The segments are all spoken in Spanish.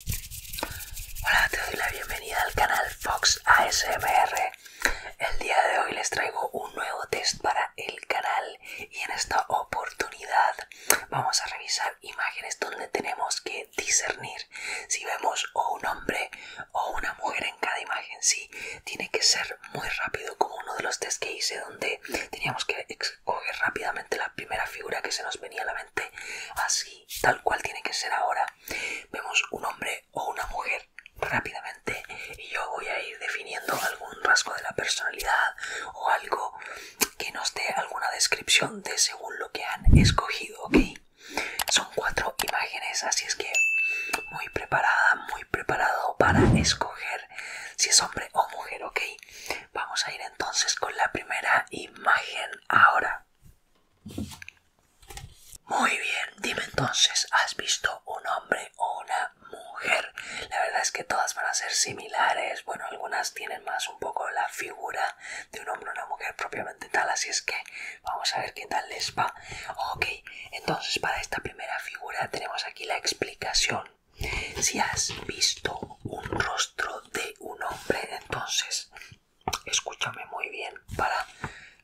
Hola, te doy la bienvenida al canal Fox ASMR. El día de hoy les traigo un nuevo test para el canal y en esta oportunidad vamos a revisar imágenes donde tenemos que discernir si vemos o un hombre o una mujer en cada imagen. Sí, tiene que ser muy rápido como uno de los test que hice donde teníamos que escoger rápidamente la primera figura que se nos venía a la así, tal cual tiene que ser ahora. Vemos un hombre o una mujer rápidamente y yo voy a ir definiendo algún rasgo de la personalidad o algo que nos dé alguna descripción de según lo que han escogido, ¿ok? Son cuatro imágenes, así es que muy preparada, muy preparado para escoger si es hombre o mujer, ¿ok? Vamos a ir entonces con la primera imagen ahora. Muy bien, dime entonces, ¿has visto un hombre o una mujer? La verdad es que todas van a ser similares. Bueno, algunas tienen más un poco la figura de un hombre o una mujer propiamente tal, así es que vamos a ver qué tal les va. Ok, entonces para esta primera figura tenemos aquí la explicación si has visto un rostro de un hombre, entonces escúchame muy bien para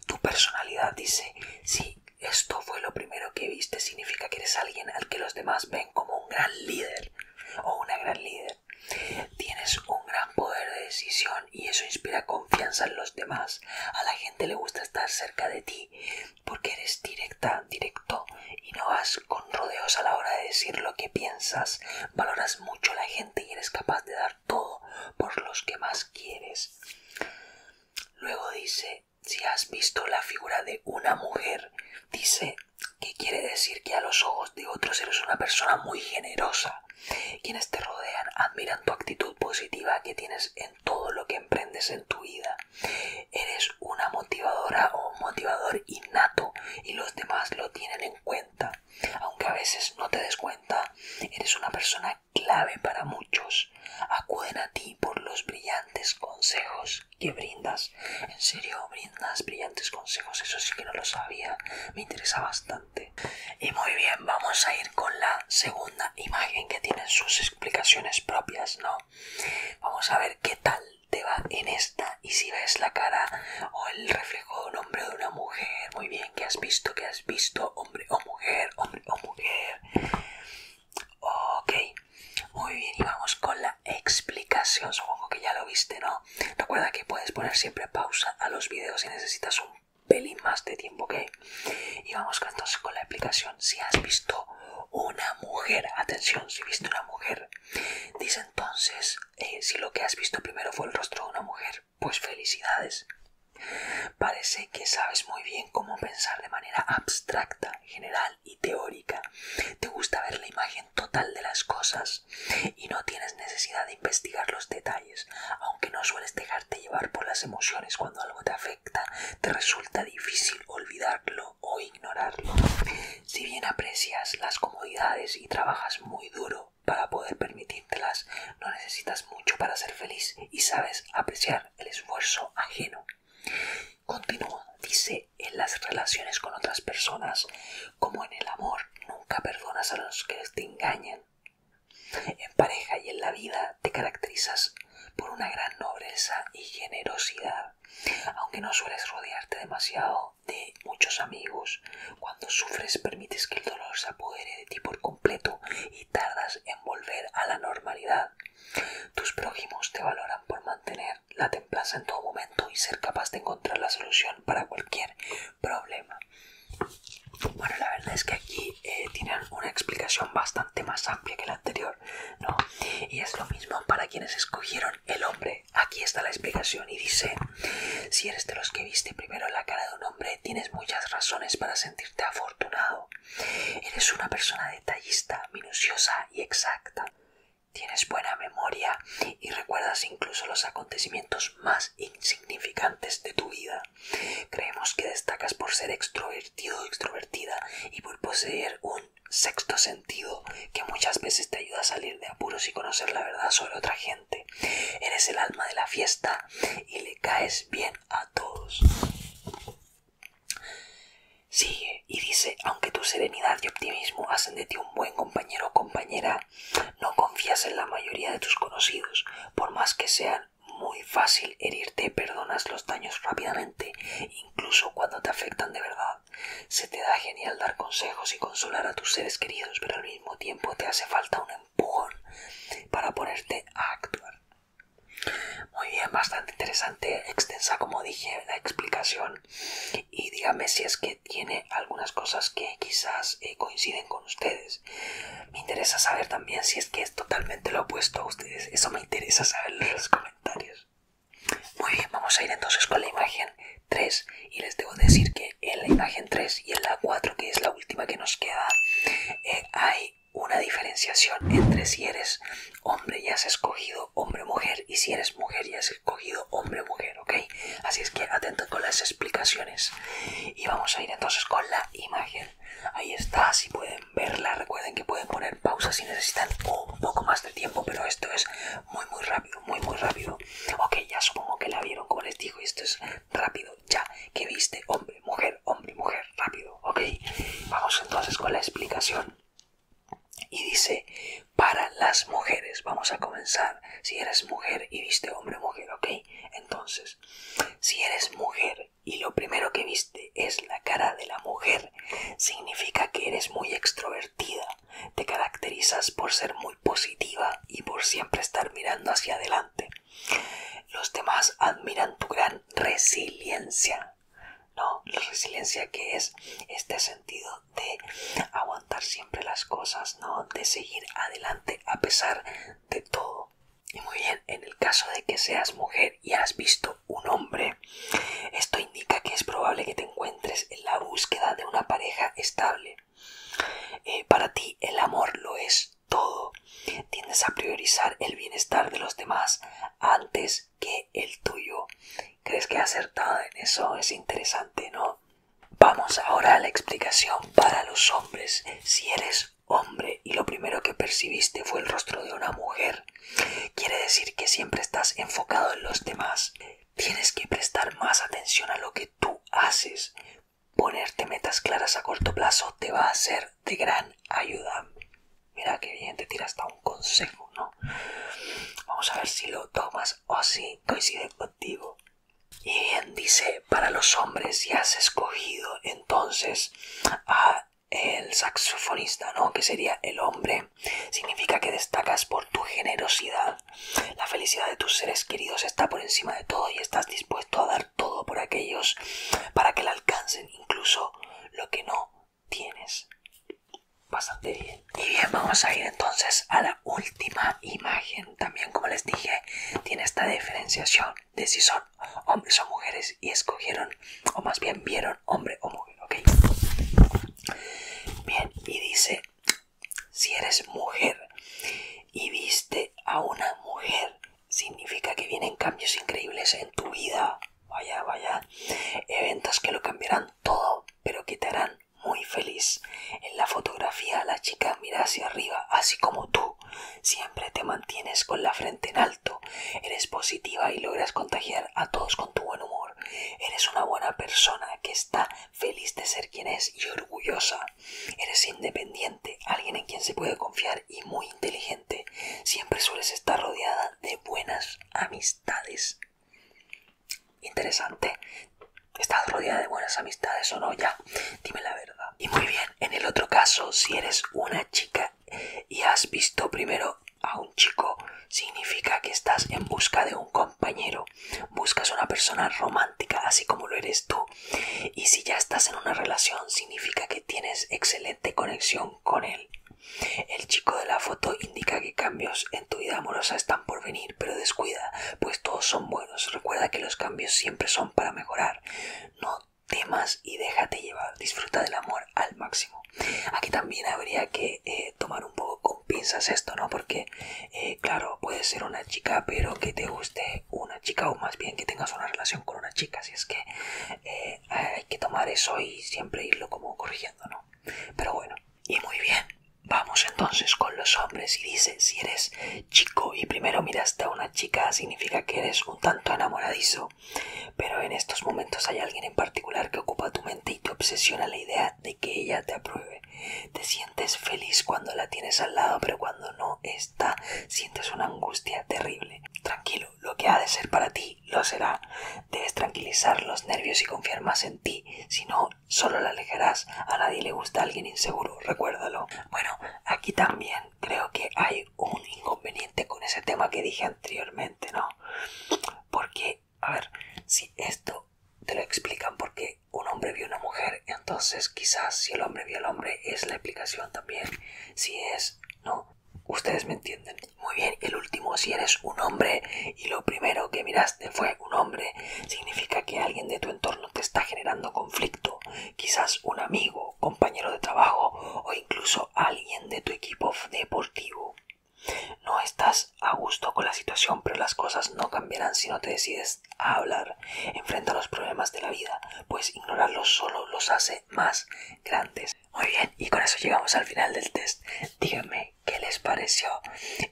tu personalidad. Dice, si esto fue lo primero que viste, significa que eres alguien al que los demás ven como un gran líder o una gran líder. Tienes un gran poder de decisión y eso inspira confianza en los demás. A la gente le gusta estar cerca de ti porque eres directa, directa y no vas con rodeos a la hora de decir lo que piensas. Valoras mucho la gente y eres capaz de dar todo por los que más quieres. Luego dice, si has visto la figura de una mujer, dice que quiere decir que a los ojos de otros eres una persona muy generosa. Quienes te rodean admiran tu actitud positiva que tienes en todo lo que emprendes en tu vida. Eres una motivadora o un motivador innato y los demás lo tienen en cuenta. Aunque a veces no te des cuenta, eres una persona clave para muchos. Acuden a ti por los brillantes consejos que brindas. En serio, brindas brillantes consejos, eso sí que no lo sabía. Me interesa bastante. Y muy bien, vamos a ir con la segunda imagen que tienen sus explicaciones propias, ¿no? Vamos a ver qué tal te va en esta y si ves la cara o el reflejo de un hombre o de una mujer, muy bien, que has visto, que has visto, hombre o mujer, hombre o mujer. Ok, muy bien, y vamos con la explicación, supongo que ya lo viste, ¿no? Recuerda que puedes poner siempre pausa a los videos si necesitas un pelín más de tiempo, ¿ok? Y vamos entonces con la explicación, si has visto una mujer, atención, si viste una mujer Dice entonces, eh, si lo que has visto primero fue el rostro de una mujer, pues felicidades. Parece que sabes muy bien cómo pensar de manera abstracta, general y teórica. Te gusta ver la imagen total de las cosas y no tienes necesidad de investigar los detalles, aunque no sueles dejarte llevar por las emociones cuando algo te afecta, te resulta difícil olvidarlo o ignorarlo. Si bien aprecias las comodidades y trabajas muy duro para poder permitírtelas, no necesitas mucho para ser feliz y sabes apreciar el esfuerzo ajeno. Continúa, dice, en las relaciones con otras personas, como en el amor, nunca perdonas a los que te engañan. En pareja y en la vida te caracterizas por una gran nobleza y generosidad. Aunque no sueles rodearte demasiado de muchos amigos, cuando sufres permites que el dolor se apodere de ti por completo y tardas en volver a la normalidad. Tus prójimos te valoran por mantener la templanza en todo momento y ser capaz de encontrar la solución para cualquier problema. Bueno, la verdad es que aquí eh, tienen una explicación bastante más amplia que la anterior. ¿no? Y es lo mismo para quienes escogieron el hombre. Aquí está la explicación y dice, si eres de los que viste primero la cara de un hombre, tienes muchas razones para sentirte afortunado. Eres una persona detallista, minuciosa y exacta. Tienes buena memoria y recuerdas incluso los acontecimientos más insignificantes de tu vida. Creemos que destacas por ser extrovertido o extrovertida y por poseer un sexto sentido que muchas veces te ayuda a salir de apuros y conocer la verdad sobre otra gente. Eres el alma de la fiesta y le caes bien a todos. Sigue y dice, aunque tu serenidad y optimismo hacen de ti un buen compañero o compañera, no confías en la mayoría de tus conocidos, por más que sean muy fácil herirte, perdonas los daños rápidamente, incluso cuando te afectan de verdad. Se te da genial dar consejos y consolar a tus seres queridos, pero al mismo tiempo te hace falta un empujón para ponerte a actuar. Muy bien, bastante interesante, extensa como dije la explicación y dígame si es que tiene algunas cosas que quizás eh, coinciden con ustedes. Me interesa saber también si que es totalmente lo opuesto a ustedes. Eso me interesa saberlo en los comentarios. Muy bien, vamos a ir entonces con la imagen 3 y les debo decir que en la imagen 3 y en la 4, que es la última que nos queda, eh, hay una diferenciación entre si eres hombre y has escogido hombre-mujer y si eres mujer y has escogido hombre-mujer, ¿ok? Así es que atento con las explicaciones. Y vamos a ir entonces con la imagen Ahí está, si pueden verla, recuerden que pueden poner pausa si necesitan un poco más de tiempo, pero esto es muy muy rápido, muy muy rápido. Ok, ya supongo que la vieron como les digo, esto es rápido, ya que viste hombre, mujer, hombre, mujer, rápido, ok. Vamos entonces con la explicación. Y dice, para las mujeres, vamos a comenzar, si eres mujer y viste hombre, mujer, ok. Entonces, si eres mujer y lo primero que viste es la cara de la mujer, significa que eres muy extrovertida, te caracterizas por ser muy positiva y por siempre estar mirando hacia adelante. Los demás admiran tu gran resiliencia, ¿no? La resiliencia que es este sentido de aguantar siempre las cosas, ¿no? De seguir adelante a pesar de todo. Y muy bien, en el caso de que seas mujer y has visto un hombre, esto indica que es probable que te encuentres en la búsqueda de una pareja estable. Eh, para ti el amor lo es todo. Tiendes a priorizar el bienestar de los demás antes que el tuyo. ¿Crees que he acertado en eso? Es interesante, ¿no? Vamos ahora a la explicación para los hombres. Si eres hombre y lo primero que percibiste fue el rostro de una mujer. Quiere decir que siempre estás enfocado en los demás. Tienes que prestar más atención a lo que tú haces. Ponerte metas claras a corto plazo te va a ser de gran ayuda. Mira que bien te tira hasta un consejo, ¿no? Vamos a ver si lo tomas o si coincide contigo. Y bien dice, para los hombres ya has escogido entonces a el saxofonista, ¿no? Que sería el hombre. Significa que destacas por tu generosidad. La felicidad de tus seres queridos está por encima de todo y estás dispuesto a dar todo por aquellos para que la alcancen incluso lo que no tienes. Bastante bien. Y bien, vamos a ir entonces a la última imagen. También, como les dije, tiene esta diferenciación de si son hombres o mujeres y escogieron, o más bien vieron hombre o mujer, Bien, y dice, si eres mujer y viste a una mujer, significa que vienen cambios increíbles en tu vida. Vaya, vaya. Eventos que lo cambiarán todo, pero que te harán muy feliz. En la fotografía la chica mira hacia arriba, así como tú siempre te mantienes con la frente en alto, eres positiva y logras contagiar a todos con tu buen humor. Eres una buena persona que está feliz de ser quien es y orgullosa. Eres independiente, alguien en quien se puede confiar y muy inteligente. Siempre sueles estar rodeada de buenas amistades. Interesante. ¿Estás rodeada de buenas amistades o no ya? Dime la verdad. Y muy bien, en el otro caso, si eres una chica y has visto primero a un chico, significa que estás en busca de un compañero. Buscas una persona romántica, así como lo eres tú. Y si ya estás en una relación, significa que tienes excelente conexión con él. El chico de la foto indica que cambios en tu vida amorosa están por venir pero descuida, pues todos son buenos. Recuerda que los cambios siempre son para mejorar. No temas y déjate llevar. Disfruta del amor al máximo. Aquí también habría que eh, tomar un poco con pinzas esto, ¿no? Porque, eh, claro, puede ser una chica, pero que te guste una chica, o más bien que tengas una relación con una chica. Así es que eh, hay que tomar eso y siempre irlo como corrigiendo, ¿no? Pero bueno, y muy bien. Vamos entonces con los hombres y dice, si eres chico y primero miraste a una chica, significa que eres un tanto enamoradizo, pero en estos momentos hay alguien en particular que ocupa tu mente y te obsesiona la idea de que ella te apruebe. Te sientes feliz cuando la tienes al lado, pero cuando no está, sientes una angustia terrible. Tranquilo, lo que ha de ser para ti, lo será. Debes tranquilizar los nervios y confiar más en ti, si no solo la alejarás. A nadie le gusta alguien inseguro, recuérdalo. Bueno, aquí también creo que hay un inconveniente con ese tema que dije anteriormente, ¿no? Porque, a ver, si esto te lo explican porque un hombre vio a una mujer, entonces quizás si el hombre vio al hombre es la explicación también. Si es, ¿no? Ustedes me entienden. Muy bien, el último, si eres un hombre y lo primero que miraste fue un hombre significa que alguien de tu entorno te está generando conflicto, quizás un amigo, compañero de trabajo o incluso alguien de tu equipo deportivo. No estás a gusto con la situación, pero las cosas no cambiarán si no te decides a hablar. Enfrenta los problemas de la vida, pues ignorarlos solo los hace más grandes. Muy bien, y con eso llegamos al final del test. Díganme qué les pareció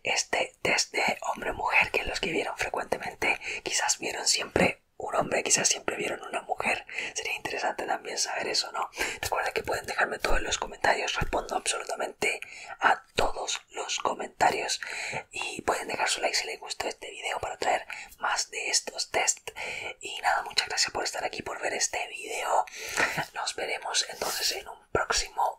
este test de hombre-mujer que los que vieron frecuentemente quizás vieron siempre un hombre, quizás siempre vieron una mujer. Sería interesante también saber eso, ¿no? Recuerden que pueden dejarme todo en los comentarios. Respondo absolutamente a todos los comentarios. Y pueden dejar su like si les gustó este video para traer más de estos test. Y nada, muchas gracias por estar aquí, por ver este video. Nos veremos entonces en un próximo